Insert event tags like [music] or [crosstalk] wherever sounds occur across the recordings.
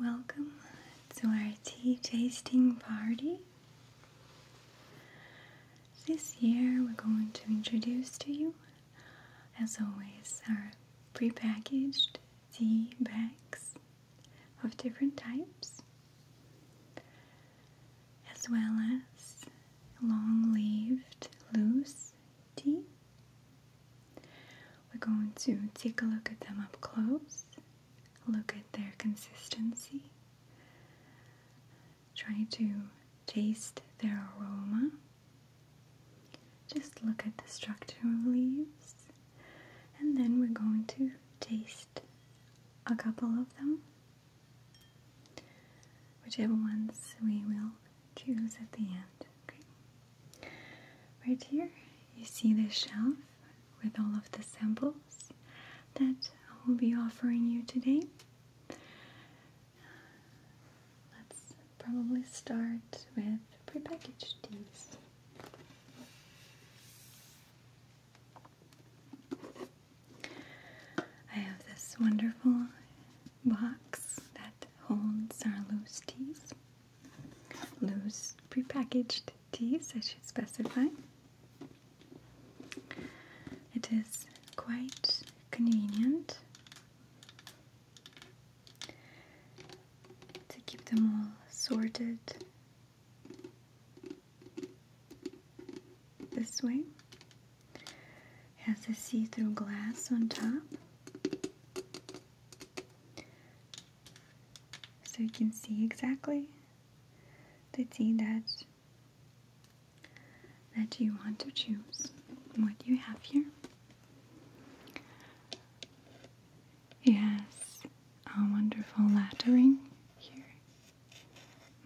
Welcome to our tea tasting party. This year we're going to introduce to you, as always, our prepackaged tea bags of different types as well as long lived loose tea. We're going to take a look at them up close, look at their consistency, try to taste their aroma. Just look at the structure of leaves, and then we're going to taste a couple of them whichever ones we will choose at the end. Right here, you see the shelf with all of the samples that I will be offering you today. Let's probably start with prepackaged teas. I have this wonderful box that holds our loose teas. Loose prepackaged teas, I should specify. It is quite convenient to keep them all sorted this way has a see-through glass on top. So you can see exactly the tea that that you want to choose. What do you have here. Yes, a wonderful lettering here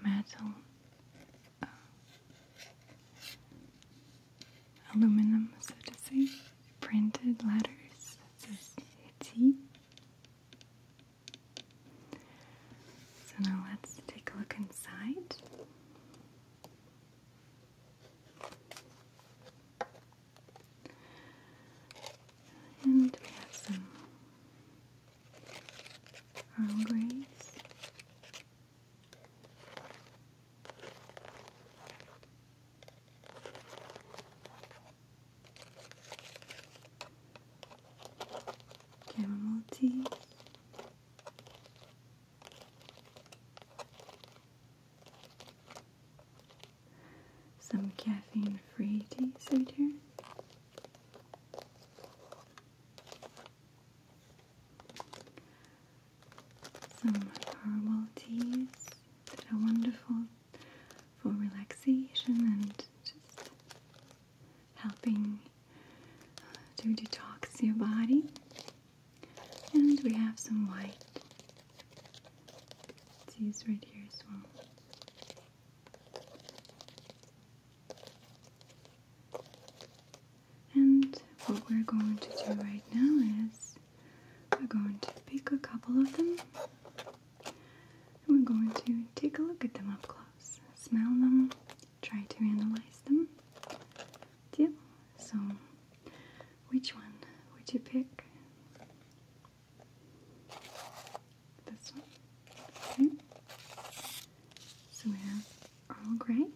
metal, uh, aluminum, so to say, printed letters. It says Etsy. So now let's take a look inside. And we have some arm grace chamomile tea. Some caffeine free teas right here. Some herbal teas that are wonderful for relaxation and just helping uh, to detox your body. And we have some white teas right here as well. And what we're going to do right now is we're going to pick a couple of them and we're going to take a look at them up close, smell them, try to analyze them. Deal? So, which one would you pick? This one. Okay. So we have Earl Grey. And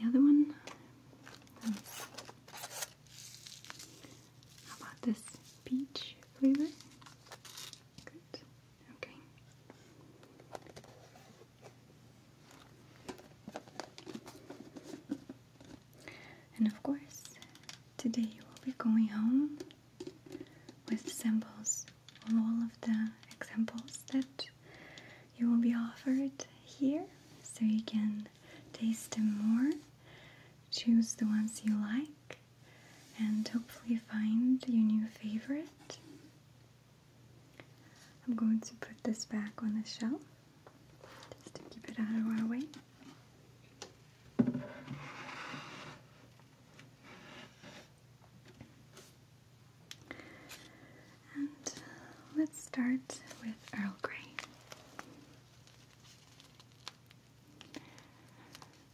the other one. how about this peach flavor? Good. Okay. And of course, today you will be going home with symbols on all of the examples that you will be offered here so you can taste them more, choose the ones you like, and hopefully find your new favorite. I'm going to put this back on the shelf just to keep it out of our way. Uh, let's start with Earl Grey.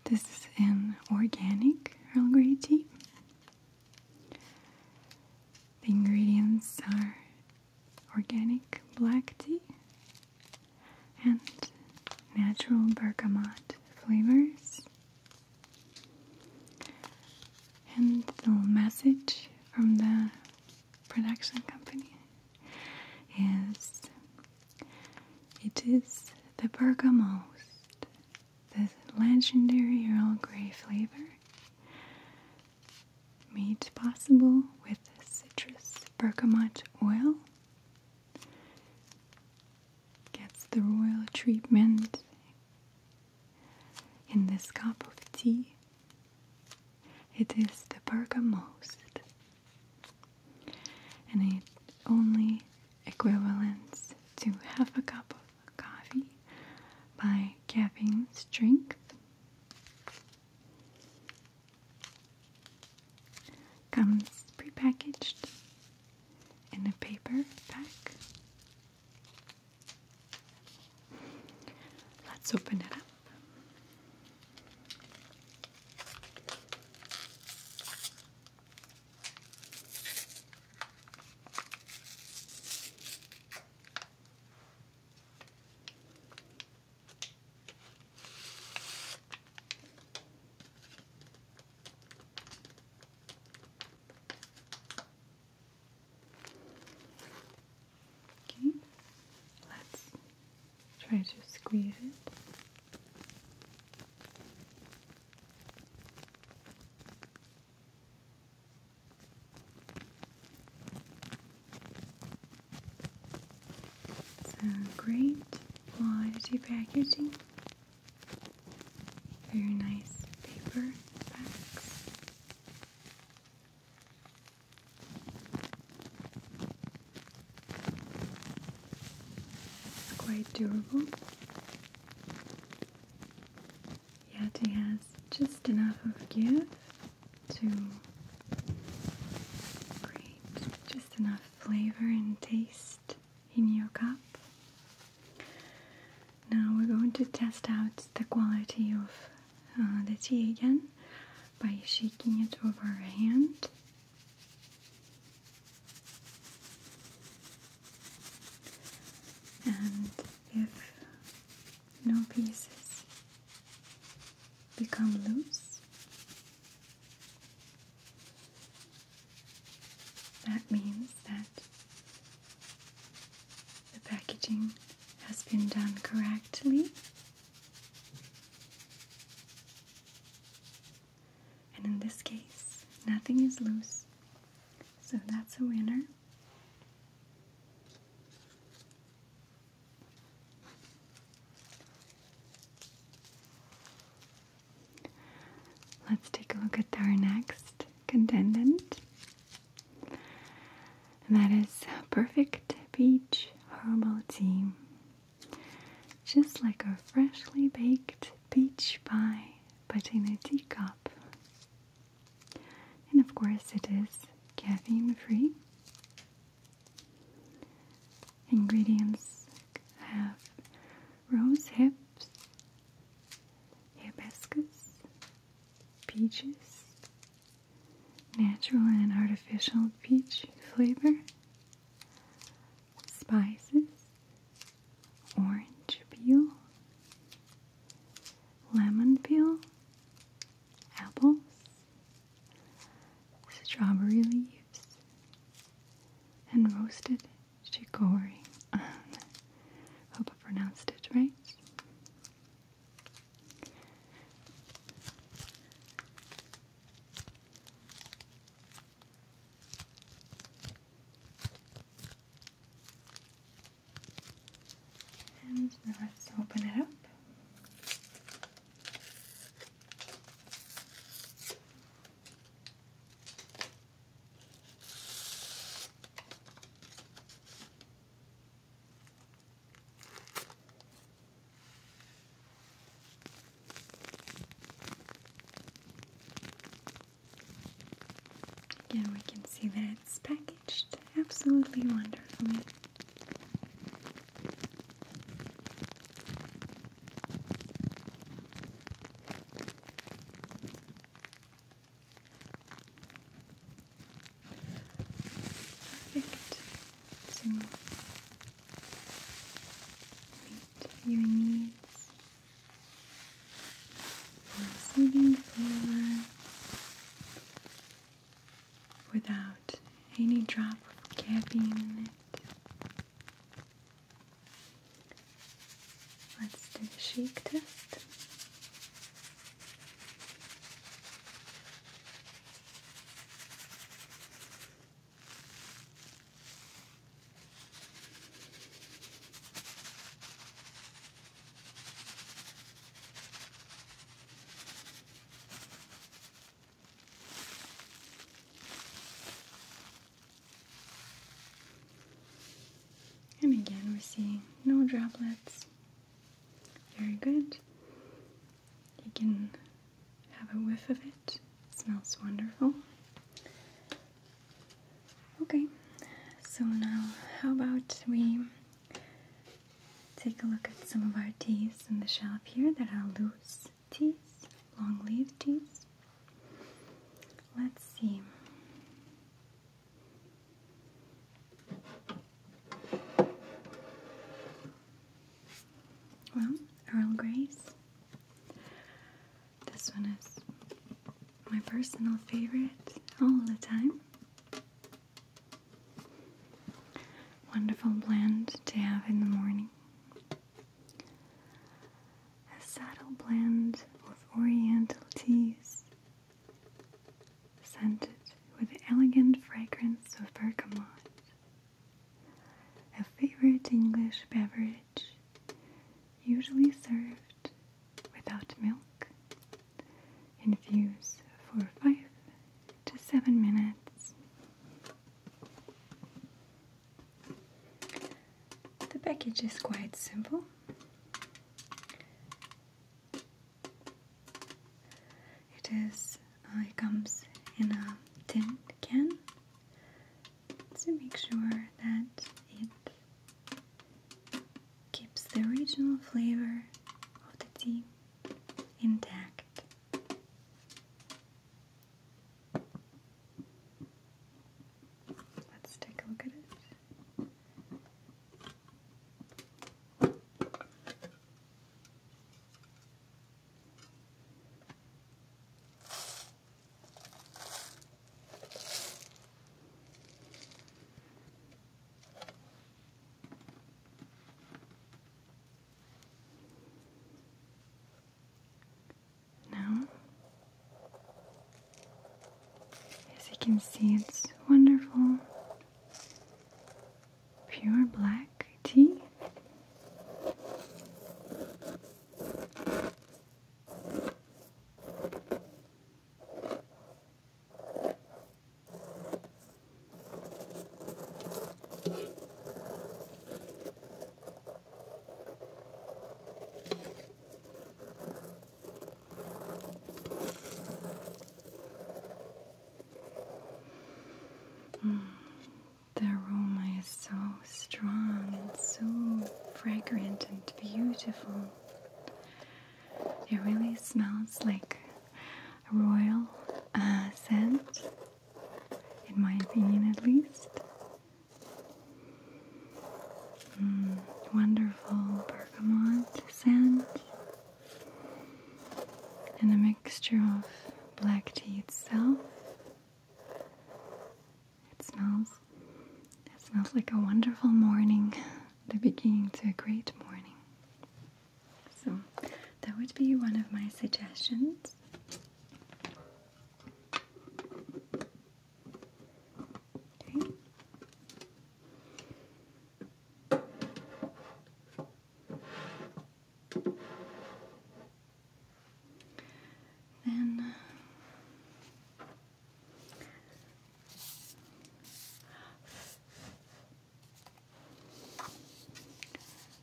This is an organic Earl Grey tea. The ingredients are organic black tea and natural bergamot flavors and the message from the production company is it is the bergamost, the legendary Earl Grey flavor, made possible with citrus bergamot oil gets the royal treatment in this cup of tea. It is the bergamost, and it only equivalents to half a cup of coffee by caffeine strength. Comes prepackaged in a paper pack. Let's open it up let's try to squeeze it. It's a great quality packaging very nice paper bags. quite durable. Yet it has just enough of give to create just enough flavor and taste in your cup. Now we're going to test out the quality of uh, the tea again by shaking it over a hand. And if no pieces become loose, that means that the packaging has been done correctly. And in this case, nothing is loose. So that's a winner. Let's take a look at our next contendant. And that is perfect peach herbal tea. Just like a freshly baked peach pie, but in a teacup. And of course, it is caffeine free. Ingredients have rose hips, hibiscus, peaches, natural and artificial peach flavor, spices, orange peel, lemon peel, apples, strawberry leaves, and roasted Shigori. hope I pronounced it right. And let's open it up. Again, we can see that it's packaged absolutely wonderfully. Perfect. So meet your needs. Receiving the flower without any drop of caffeine in it. Let's do the shake test. And again, we're seeing no droplets. Very good. You can have a whiff of it. smells wonderful. Okay, so now how about we take a look at some of our teas in the shelf here that are loose teas, long leaf teas. Let's see. Well, Earl Grey's. This one is my personal favorite all the time. Wonderful blend to have in the morning a saddle blend with oriental teas scented with the elegant fragrance of bergamot, a favorite English beverage usually served without milk. Infuse for 5 to 7 minutes. The package is quite simple. It is. Uh, it comes in a tin can to make sure that it keeps the original flavor of the tea intact. Let's take a look at it. Now, as you can see, it's wonderful pure black tea. Mm, the aroma is so strong and so fragrant and beautiful. It really smells like a royal uh, scent, in my opinion at least. Mm, wonderful bergamot scent and a mixture of black tea itself. It smells it smells like a wonderful morning, the beginning to a great morning. So that would be one of my suggestions. Okay. Then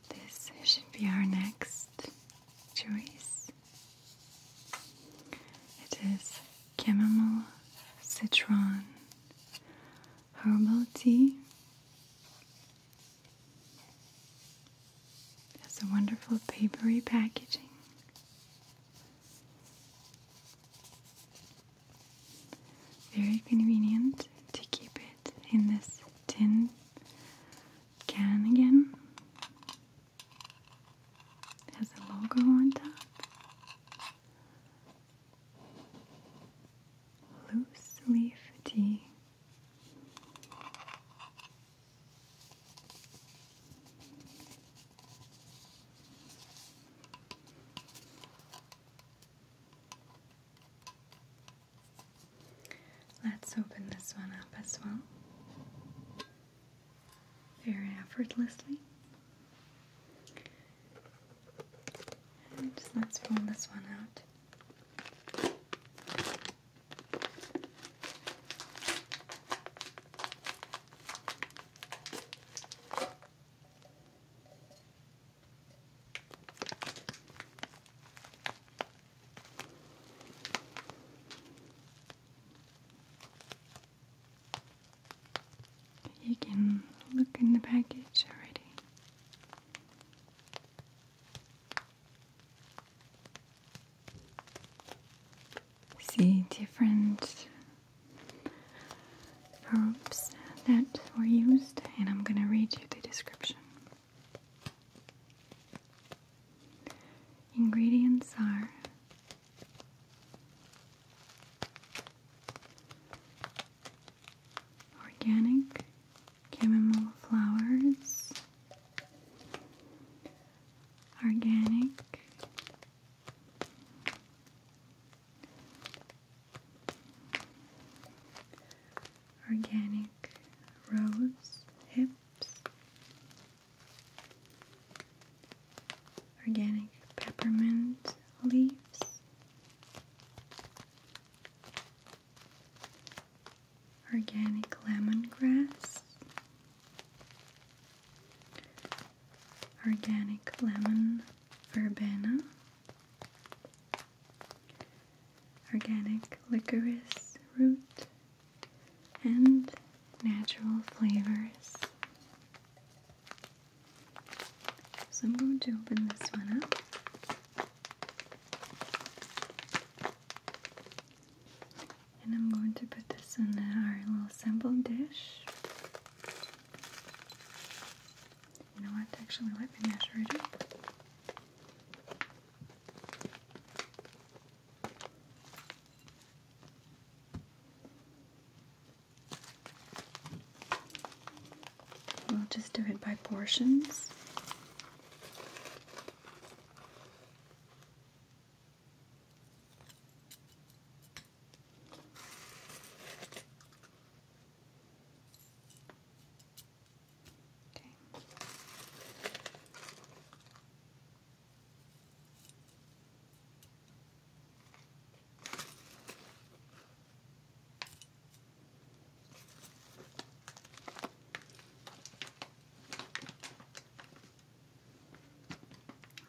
this should be our next choice. It is chamomile citron herbal tea. It has a wonderful papery packaging. Very convenient to keep it in this tin can again. It has a logo on top. Loose leaf tea. Let's open this one up as well very effortlessly. And let's pull this one out. You can look in the package already. See different herbs that were used, and I'm gonna read you the description. Ingredients are organic chamomile flowers, organic organic rose hips organic peppermint leaves, organic lemongrass, organic lemon verbena, organic licorice root and natural flavors. So I'm going to open this one up. And I'm going to put this in our little sample dish. You know what? Actually, let me measure it We'll just do it by portions. Okay.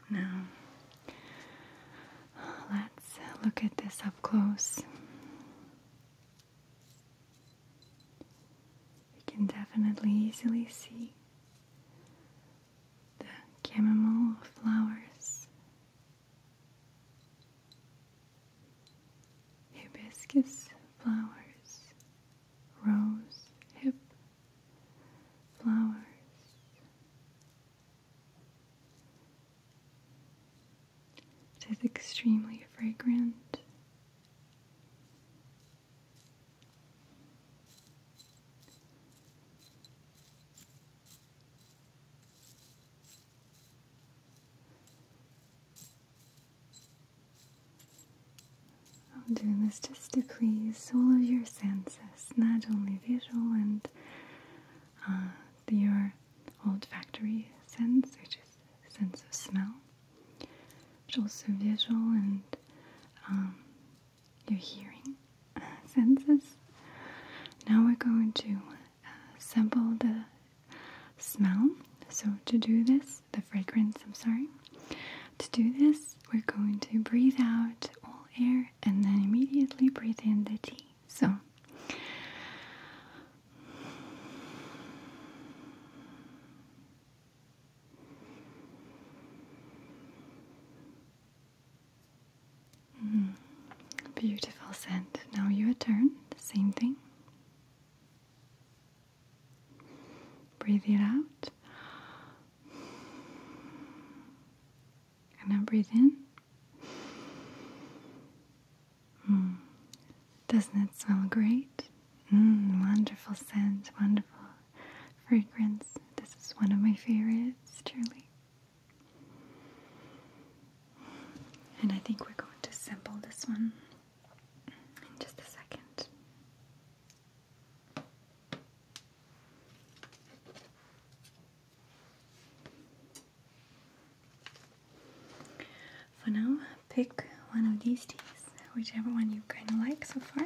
Now, let's look at this up close. You can definitely easily see the chamomile flowers, hibiscus flowers, rose hip flowers. It is extremely fragrant i am doing this just to please all of your senses, not only visual and uh, your olfactory sense, which is sense of smell, but also visual and um, your hearing uh, senses. Now we're going to uh, sample the smell. So, to do this, the fragrance, I'm sorry. To do this, we're going to breathe out all air and then immediately breathe in the tea. So, Mm-hmm. beautiful scent. Now your turn. The same thing. Breathe it out. And now breathe in. Mm. Doesn't it smell great? Mm, wonderful scent, wonderful fragrance. This is one of my favorites, truly. And I think we're going to sample this one in just a second. For now, pick one of these teas, whichever one you kind of like so far.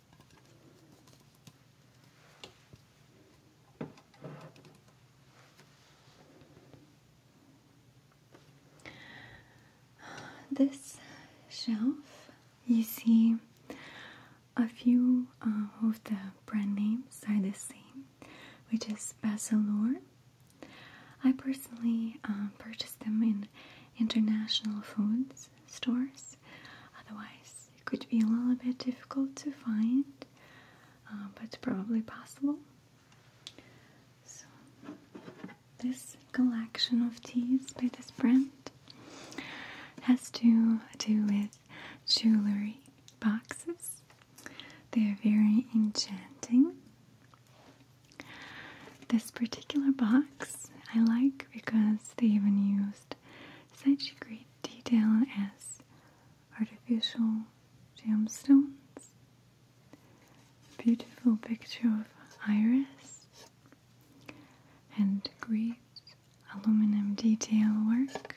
This shelf, you see a few uh, of the brand names are the same, which is Basilor. I personally uh, purchase them in international foods stores. Otherwise, it could be a little bit difficult to find, uh, but probably possible. So, this collection of teas by this brand has to do with jewelry boxes. They are very enchanting. This particular box I like because they even used such great detail as artificial gemstones. Beautiful picture of iris and great aluminum detail work.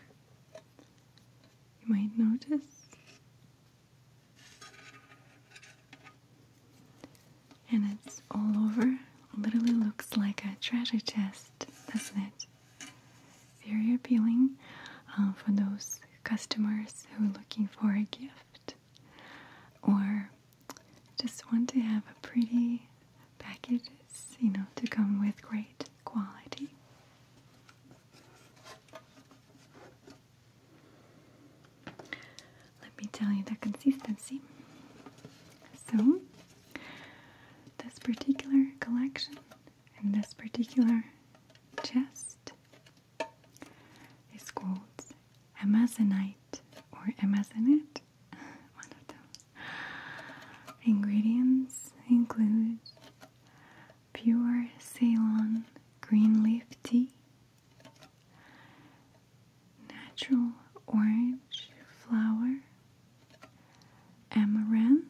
You might notice. And it's all over. Literally looks like a treasure chest, doesn't it? very appealing uh, for those customers who are looking for a gift or just want to have a pretty package, you know, to come with great quality. Let me tell you the consistency. So, this particular collection and this particular chest is called amazonite or amazonite, [laughs] one of them. Ingredients include pure Ceylon green leaf tea, natural orange flower amaranth,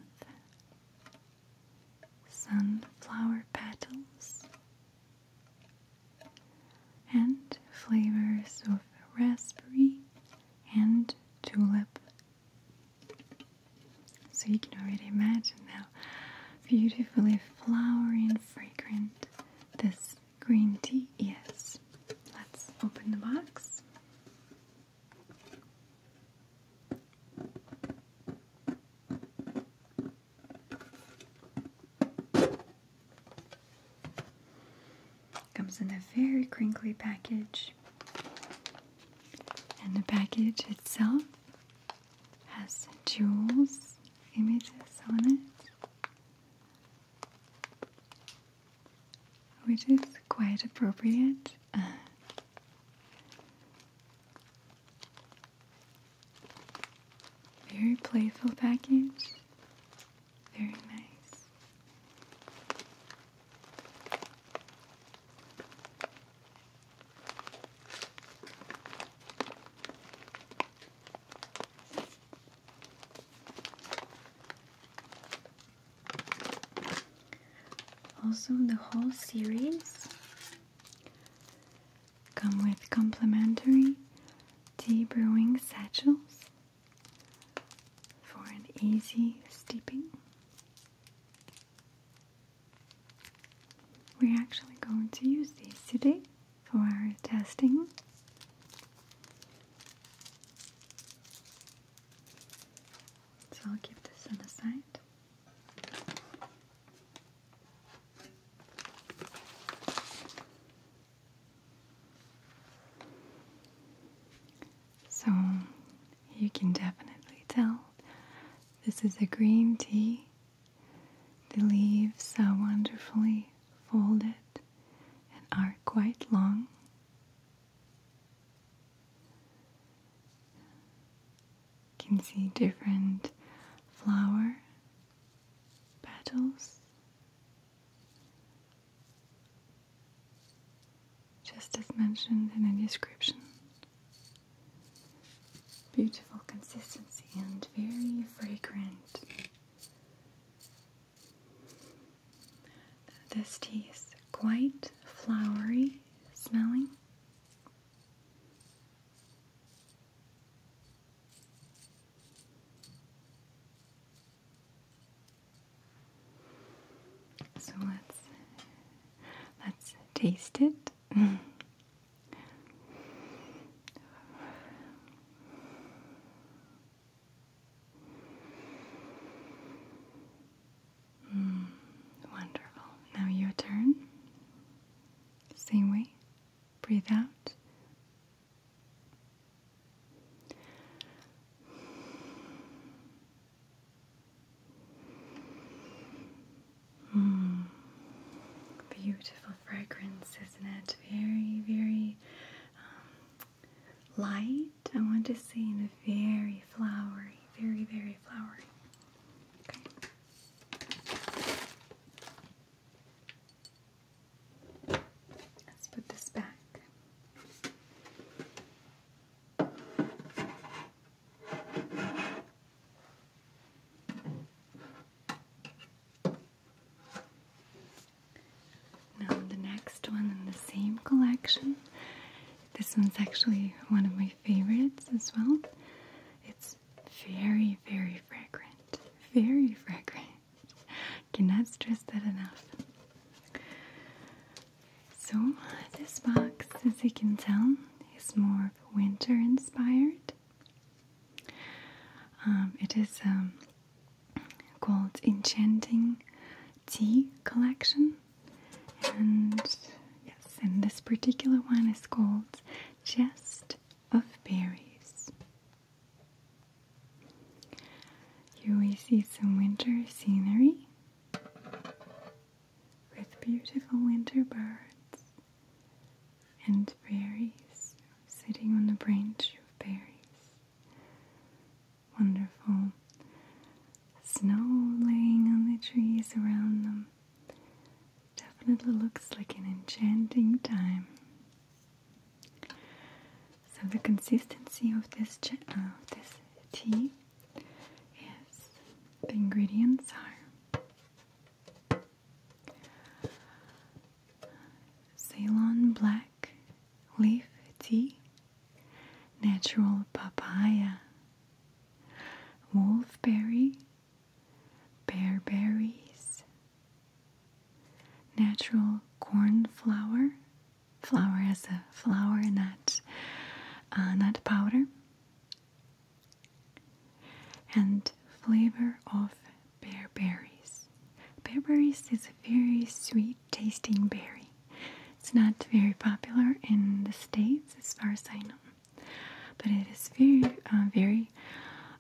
sunflower petals, and flavors of raspberry and tulip. So you can already imagine how beautifully flowering, fragrant this green tea is. Let's open the box. Comes in a very crinkly package, and the package itself has jewels images on it which is quite appropriate. Uh, very playful package. Very nice. Also, the whole series come with complimentary tea brewing satchels for an easy steeping. We're actually going to use these today for our testing. So I'll keep this on the side. So you can definitely tell this is a green tea. The leaves are wonderfully folded and are quite long. You can see different flower petals. Just as mentioned in the description. Beautiful consistency and very fragrant. This tea is quite flowery smelling. So let's let's taste it. [laughs] Hmm, wonderful. Now your turn. Same way. Breathe out. Hmm, beautiful fragrance, isn't it? Very, very um, light. I want to see in a very flowery, very, very flowery. Okay. Let's put this back. Now the next one in the same collection this one's actually one of my favorites as well. It's very, very fragrant. Very fragrant. [laughs] Cannot stress that enough. So, this box, as you can tell, is more winter inspired. Um, it is um, called Enchanting Tea Collection and yes, and this particular one is called Chest of Berries. Here we see some winter scenery with beautiful winter birds and berries sitting on the branch of berries wonderful snow laying on the trees around them. Definitely looks like an enchanting time. So the consistency of this of uh, this tea is the ingredients are Ceylon black leaf tea natural papaya, wolfberry, bearberries, natural cornflower, flour as a flour, not uh, nut powder, and flavor of bearberries. Bearberries is very sweet tasting berry. It's not very popular in the States as far as I know, but it is very, uh, very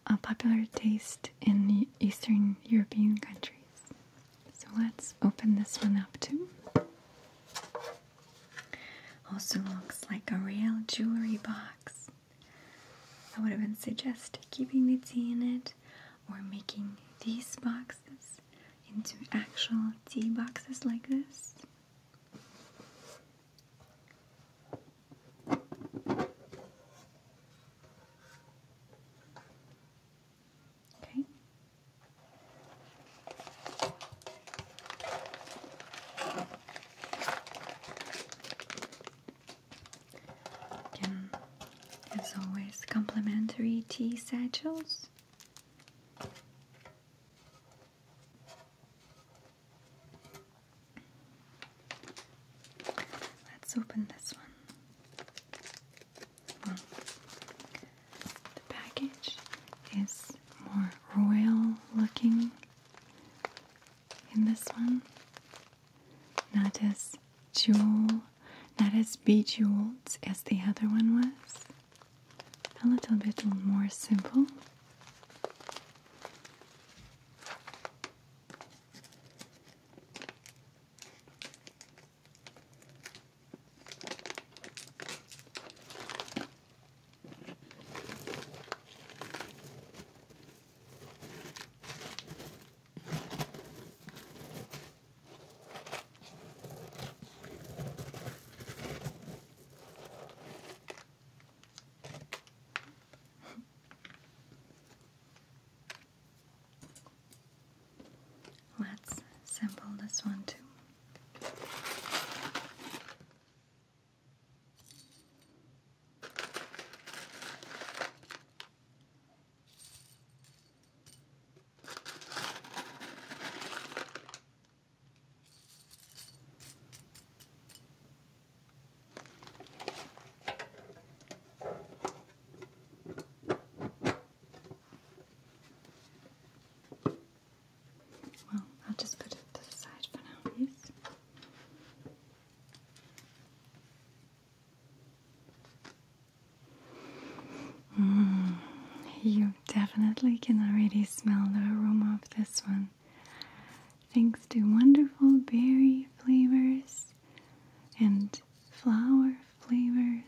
a uh, popular taste in the Eastern European countries. So let's open this one up too. Also looks like a real jewelry box. I would have been suggested keeping the tea in it or making these boxes into actual tea boxes like this. Okay. Again, as always, complimentary tea satchels Let's open this one. the package is more royal looking in this one. Not as jewel, not as bejeweled as the other one was a little bit more simple. Let's sample this one too. Well, I'll just put it aside for now, yes. Mm, you definitely can already smell the aroma of this one. Thanks to wonderful berry flavors and flower flavors.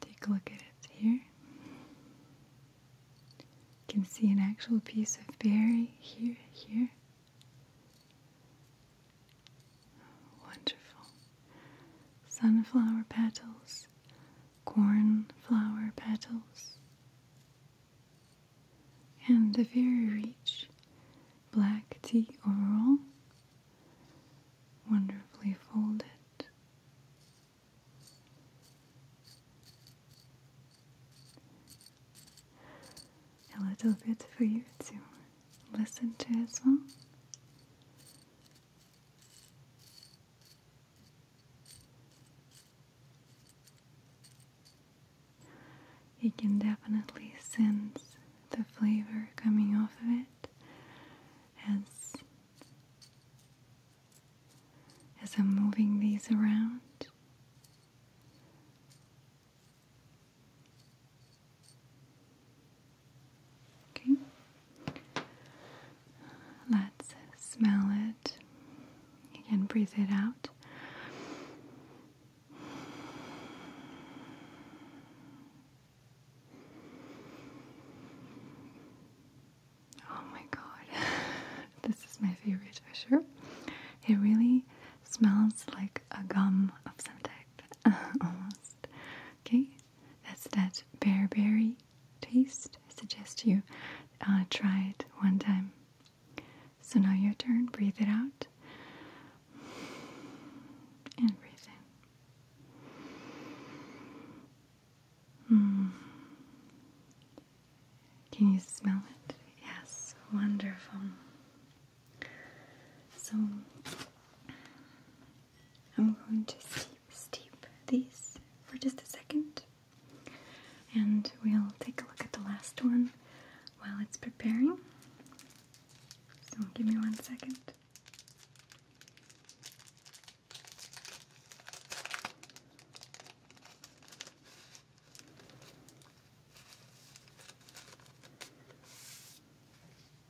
Take a look at it here. You can see an actual piece of berry here, here. Wonderful. Sunflower petals, cornflower petals, and the very rich black tea overall, wonderfully folded. A little bit for you to listen to as well. You can definitely sense the flavor coming off of it as as I'm moving these around. Okay. Let's smell it. You can breathe it out. Oh my god. [laughs] this is my favorite for It really smells like a gum of some type. [laughs] Almost. Okay, that's that bearberry taste. I suggest you uh, try it one time. So now your turn. Breathe it out. And breathe in. Hmm. Can you smell it? Yes, wonderful. So I'm going to steep, these for just a second. And we'll take a look at the last one while it's preparing. So give me one second.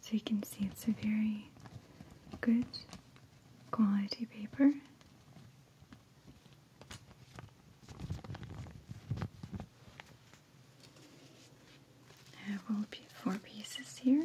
So you can see it's a very good quality paper. I have four pieces here.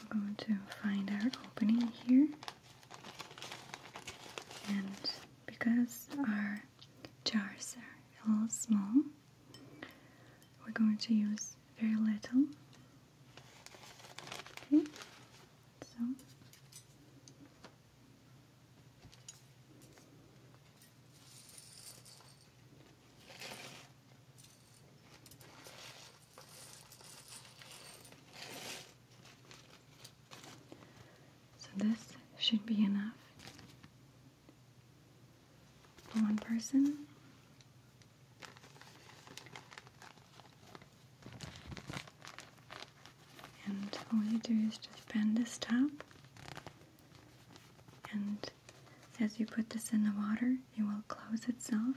We're going to find our opening here. And because our jars are a little small, we're going to use very little. Okay, so so this should be enough for one person. And all you do is just bend this top and as you put this in the water, it will close itself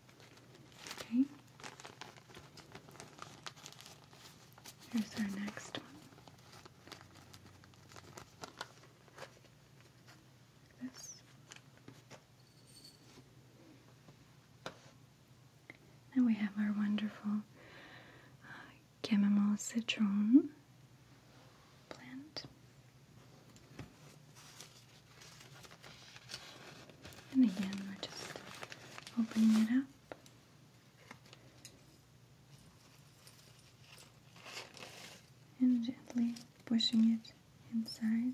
Okay. Here's our next one. Like this. Now we have our wonderful uh, chamomile citron plant. And again, we're just opening it up. And gently pushing it inside.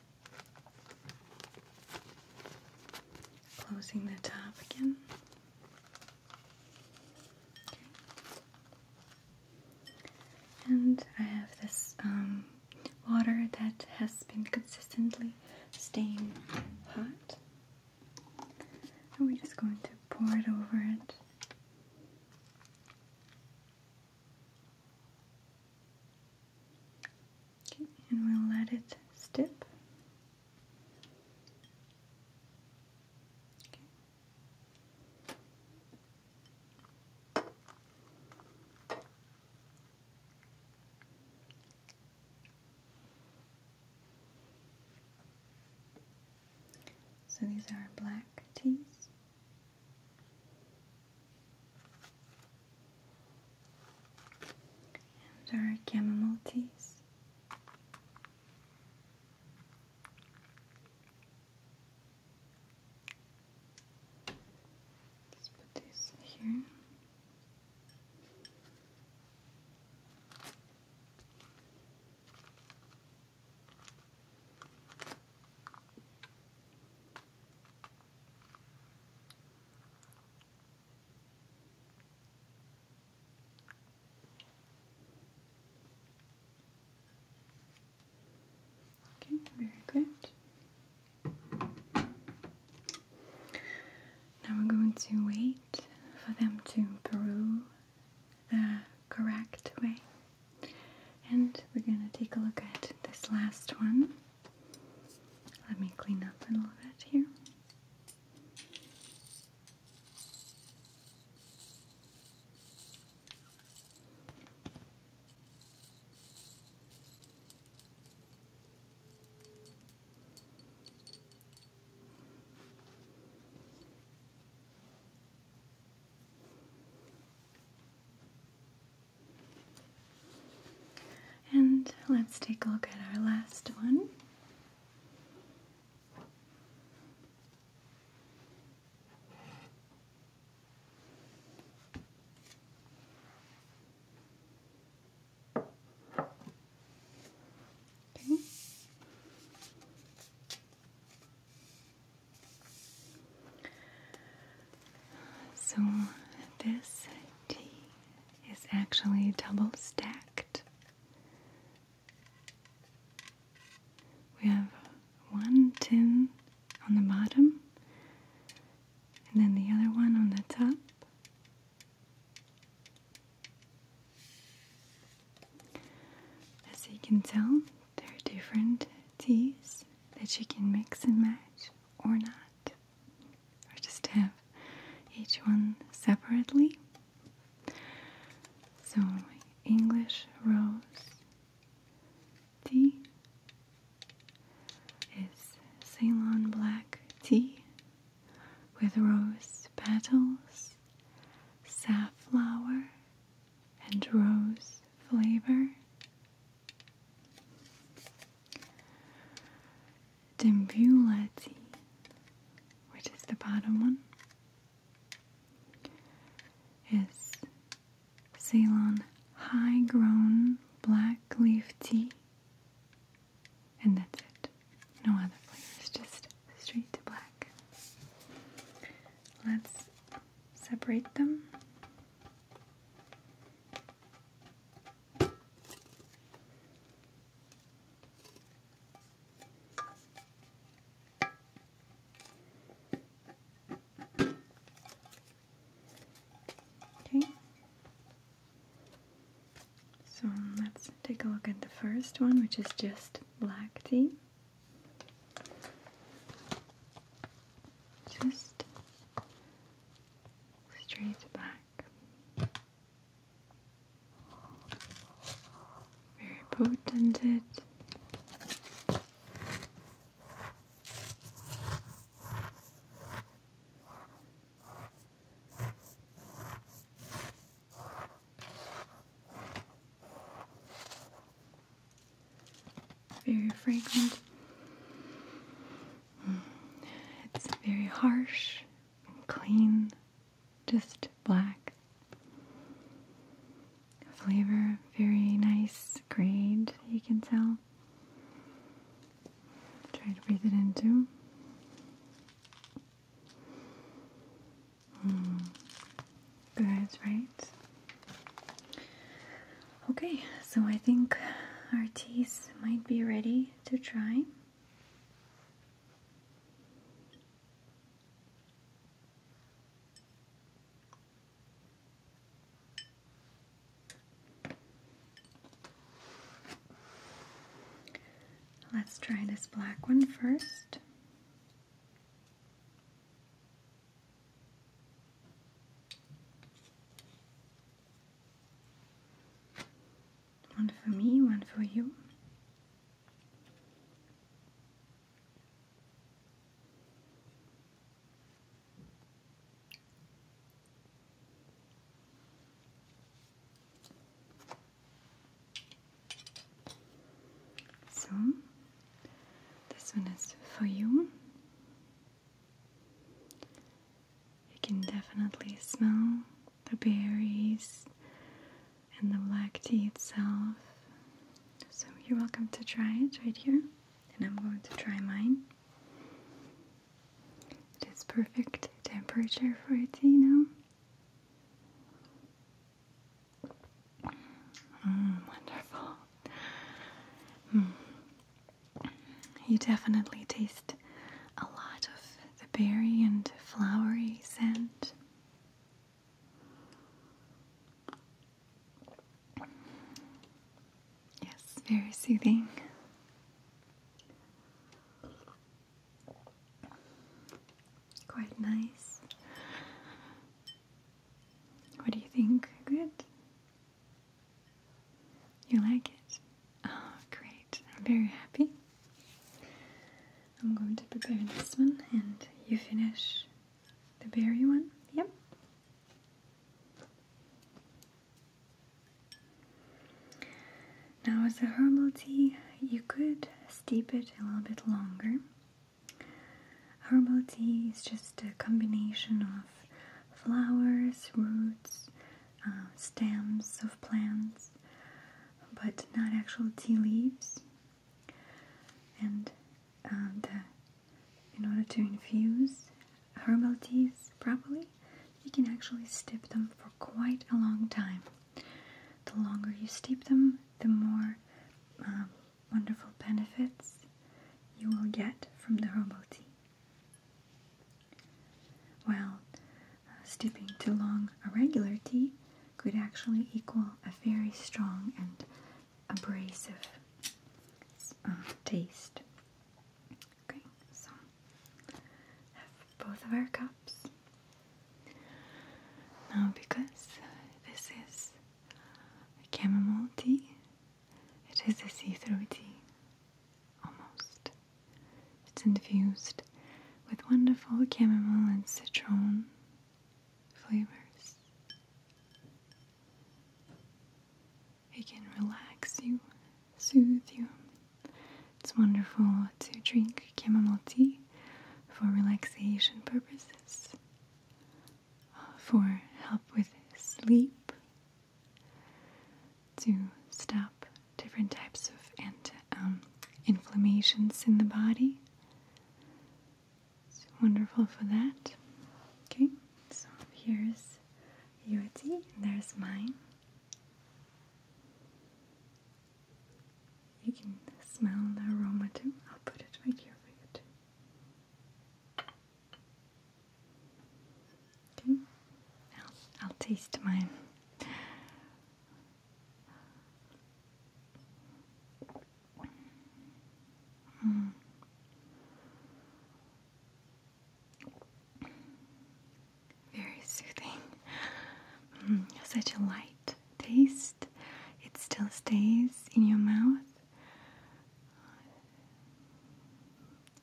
Closing the top again. And I have this um, water that has been consistently staying hot. And we're just going to pour it over it and we'll let it step. So these are black teas and our chamomile teas. Let's put this here. Okay, very good. Now we're going to wait for them to brew the correct way. And we're going to take a look at this last one. Let me clean up a little bit here. And let's take a look at our last one. Okay. So this tea is actually double stacked. We have one tin on the bottom and then the other one on the top. As you can tell, they are different teas that you can mix and match or not, or just have each one separately. So, English rose tea is Ceylon black tea with rose petals, safflower, and rose flavor. Dembulati, which is the bottom one, is Ceylon High Grown Black Leaf Tea. And that's it. No other flavors, just straight to black. Let's separate them. Okay. So let's take a look at the first one, which is just black tea. Just straight black. Very potent it. Very fragrant. It's very harsh and clean, just black. Flavor, very nice grade, you can tell. Try to breathe it in too. Mm. Good, right? Okay, so I think our teas might be ready to try. Let's try this black one first one for me, one for you. So, this one is for you. You can definitely smell the berries and the black tea itself. So you're welcome to try it right here. And I'm going to try mine. It is perfect temperature for tea now. Mm, wonderful. Mm. You definitely taste a lot of the berry and flowery scent. Yes, very soothing. Quite nice. What do you think? Good? You like it? Oh, great. I'm very happy. I'm going to prepare this one and you finish the berry one. Yep. Now, as a herbal tea, you could steep it a little bit longer. Herbal tea is just a combination of flowers, roots, uh, stems of plants, but not actual tea leaves. And um, in order to infuse herbal teas properly, you can actually steep them for quite a long time. The longer you steep them, the more um, wonderful benefits you will get from the herbal tea. While uh, too long a regular tea could actually equal a very strong and abrasive um, taste. Okay, so have both of our cups. Now, because this is a chamomile tea, it is a see-through tea, almost. It's infused with wonderful chamomile and citron flavors. It can relax you, soothe you. It's wonderful to drink chamomile tea for relaxation purposes, uh, for help with sleep to stop different types of um, inflammations in the body. It's wonderful for that. Okay, so here's your tea, there's mine. You can smell the aroma too. I'll put it right here for you too. I'll taste mine. Mm. Very soothing. Mm, such a light taste. It still stays in your mouth.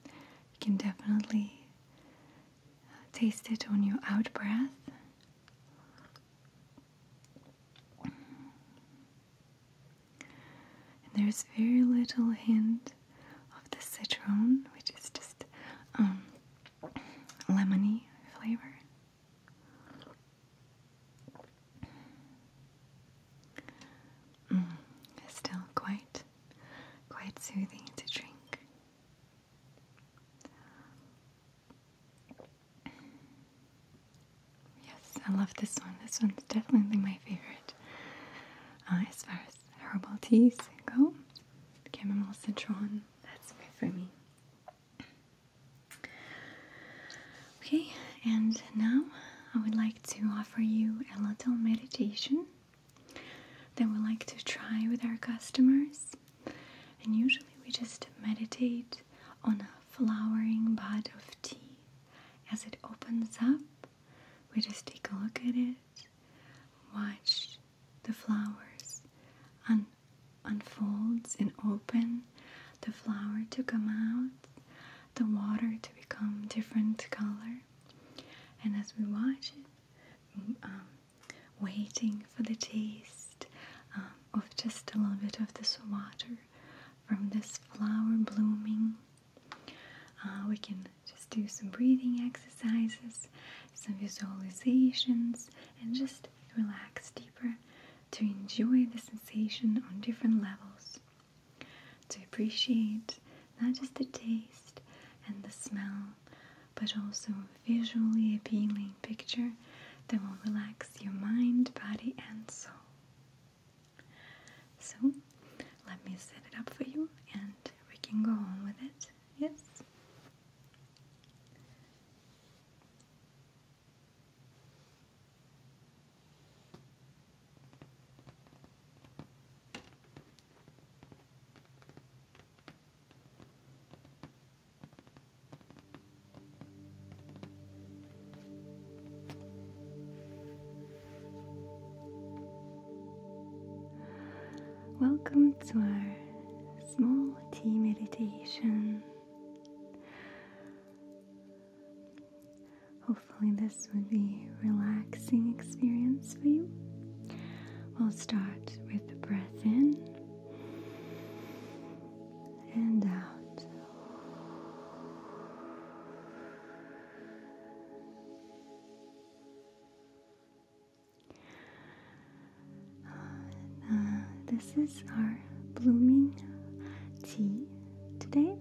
You can definitely Taste it on your out breath. And there's very little hint of the citron, which is just um, lemony flavor. Mm, still quite, quite soothing to drink. Yes, I love this one. This one's definitely my favorite. Uh, as far as herbal teas go, chamomile citron, that's good for me. Okay, and now I would like to offer you a little meditation that we like to try with our customers. And usually we just meditate on a flowering bud of tea. As it opens up, we just take a look at it, watch the flowers unfold and open, the flower to come out, the water to become different color. And as we watch it, mm, um, waiting for the taste um, of just a little bit of this water from this flower blooming. Uh, we can just do some breathing exercises, some visualizations, and just relax deeper to enjoy the sensation on different levels, to appreciate not just the taste and the smell, but also a visually appealing picture that will relax your mind, body, and soul. So, let me set it up for you and we can go on with it. Yes? Welcome to our small tea meditation. Hopefully, this would be relaxing experience for you. We'll start with the breath in and out. Uh, this is our blooming tea today.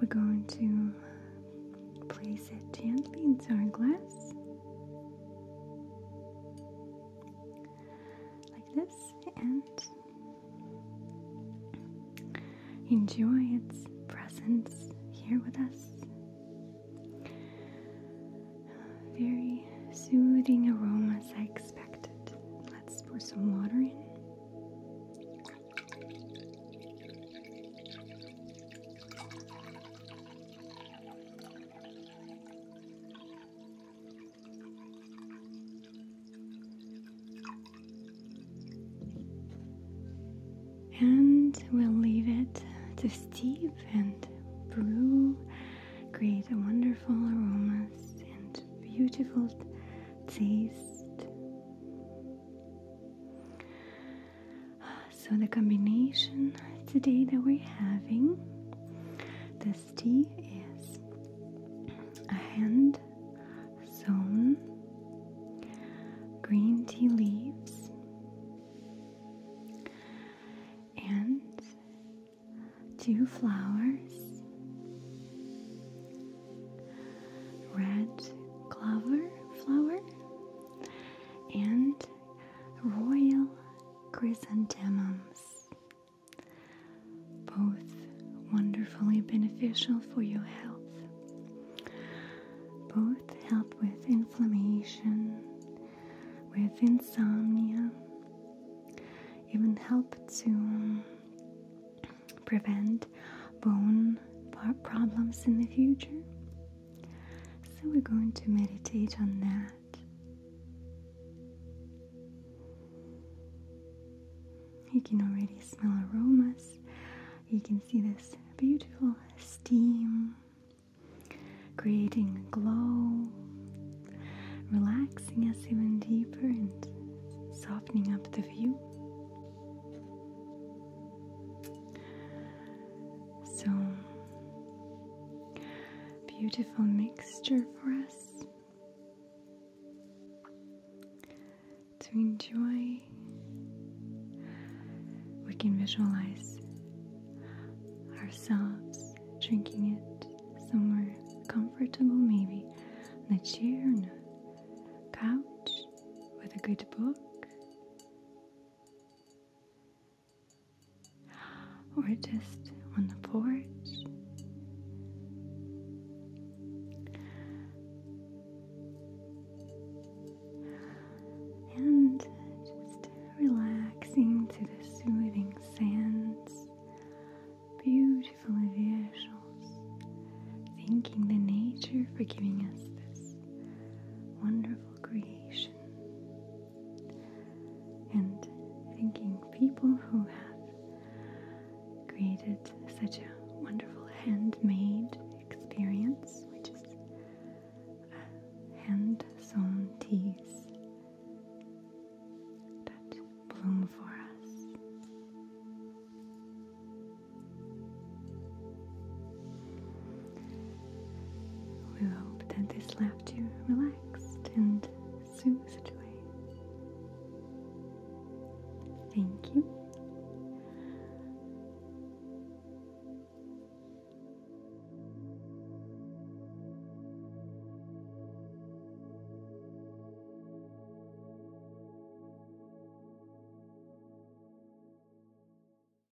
We're going to Place it gently into our glass. Like this, and enjoy its presence here with us. Very soothing aromas, I expected. Let's pour some water in. And we'll leave it to steep and brew, create wonderful aromas and beautiful taste. So, the combination today that we're having this tea is a hand sewn green tea leaves and two flowers, red clover flower, and royal chrysanthemums, both wonderfully beneficial for your health. Both help with inflammation, with insomnia, even help to prevent bone problems in the future. So we're going to meditate on that. You can already smell aromas. You can see this beautiful steam creating a glow, relaxing us even deeper and softening up the view. So, beautiful mixture for us to enjoy. We can visualize ourselves drinking it somewhere comfortable, maybe on a chair, a couch, with a good book or just on the porch. And just relaxing to the soothing sands, beautiful visuals, thanking the nature for giving us this wonderful creation. And thinking people who have created such a wonderful handmade experience, which is hand sewn teas that bloom for us. We hope that this left you relaxed and soothed away. Thank you.